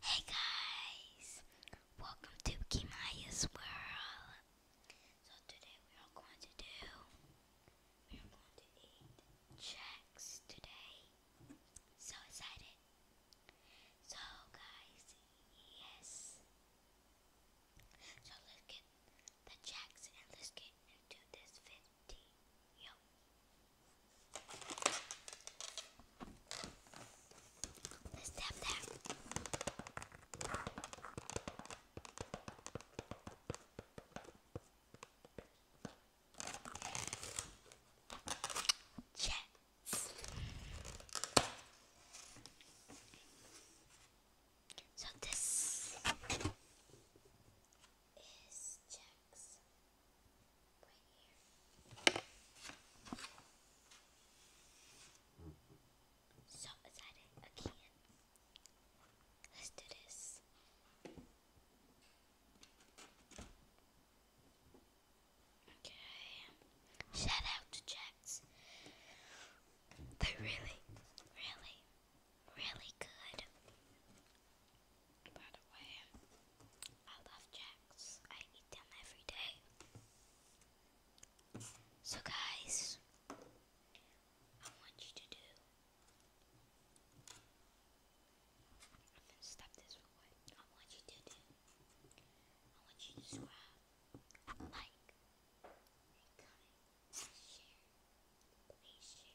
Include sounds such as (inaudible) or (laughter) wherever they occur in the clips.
Hey guys, welcome to Kimaya's World. So today we are going to do, we are going to eat checks today. So excited. So guys, yes. So let's get the checks and let's get into this video. Let's tap that. Jets. So this is checks. Right here. So, is that Let's do this. Okay. Shout out to Jax. They're really, really, really good. By the way, I love Jacks. I eat them every day. So guys, I want you to do. I'm gonna this for what I want you to do. I want you to subscribe, like, and comment, share. Please share.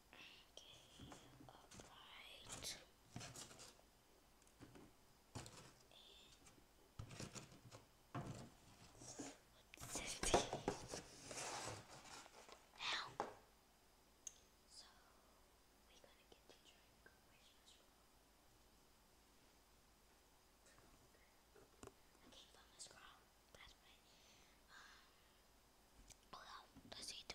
Okay, alright. What's this? Now, so we're to get to drink questions Okay, from the scroll. That's right. well, let's eat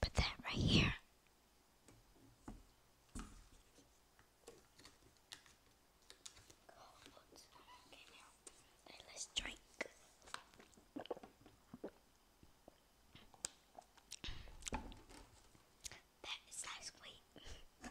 Put that right here. Okay, now. let's drink. That is nice. Wait.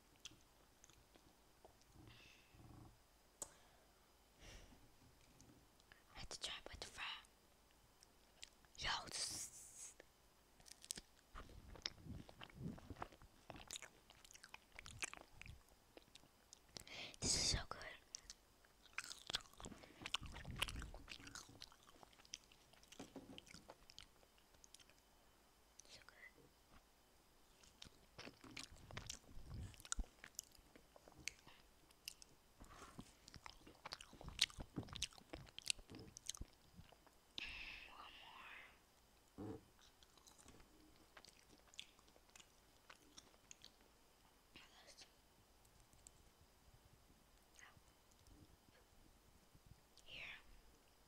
Had to try with the fry. Yo. This is so good. So good. One more. Here.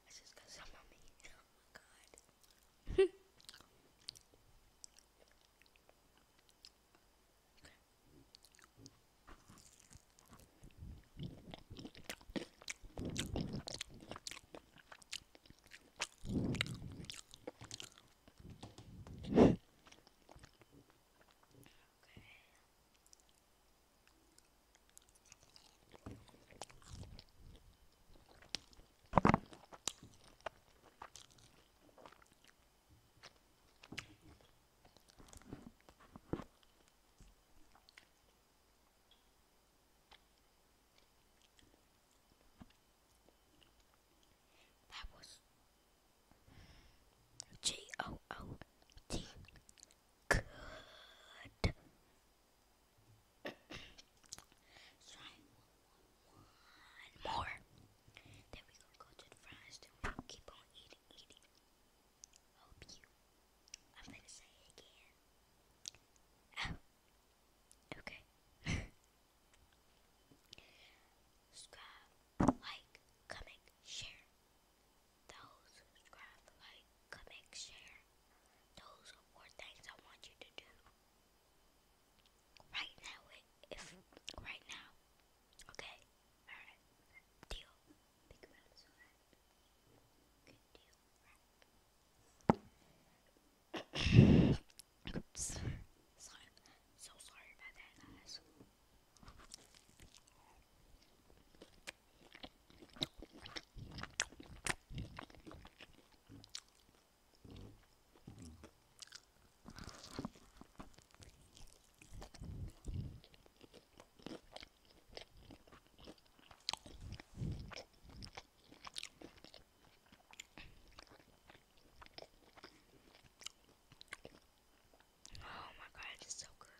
That's just because I'm me. (laughs) Oh my god. That was G O O T good. so one more. Then we're gonna go to the fries keep on eating, eating. Hope you I'm gonna say it again. Oh. Okay. Subscribe, like, comment, share. Those like, comment, share. Those are four things I want you to do. Right now, if right now. Okay? Alright. Deal. (coughs) So sorry about that, guys. Oh my god, it's so good.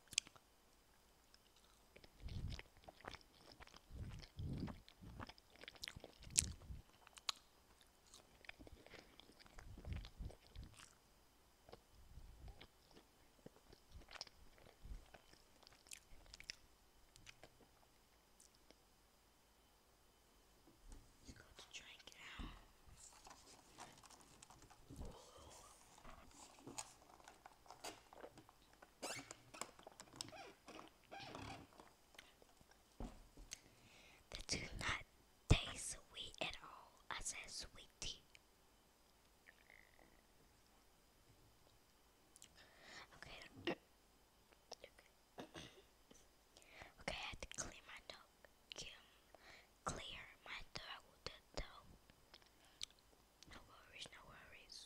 You got to drink it out. That do not taste sweet at all. I said sweet Okay. (coughs) (coughs) okay. I had to clean my dog clear my throat though. No worries, no worries.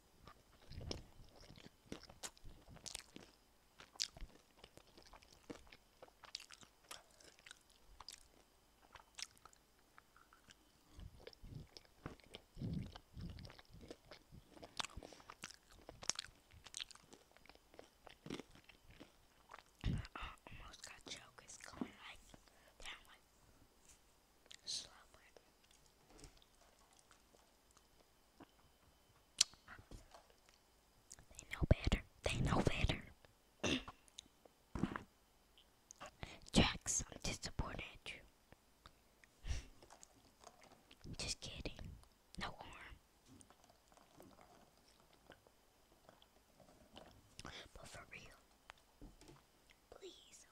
I almost got chokers going like that one. They know better. They know better. Jacks, I'm disappointed Just kidding. No harm. But for real, please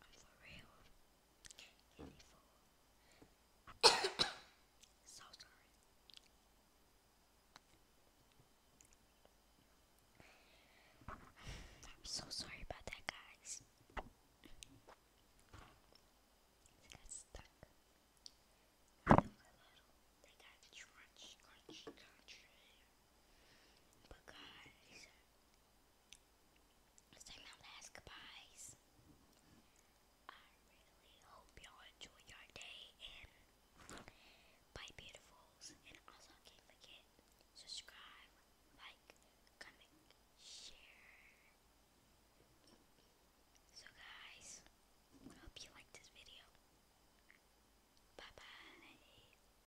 I'm for real. Any fool. so sorry. I'm so sorry about that, guys. They got stuck. I a little. They got crunchy, crunchy, crunchy. But guys, let my last goodbyes. I really hope y'all enjoy your day and bye beautifuls. And also can't forget, subscribe, like, comment, share. So guys, I hope you liked this video. Bye bye.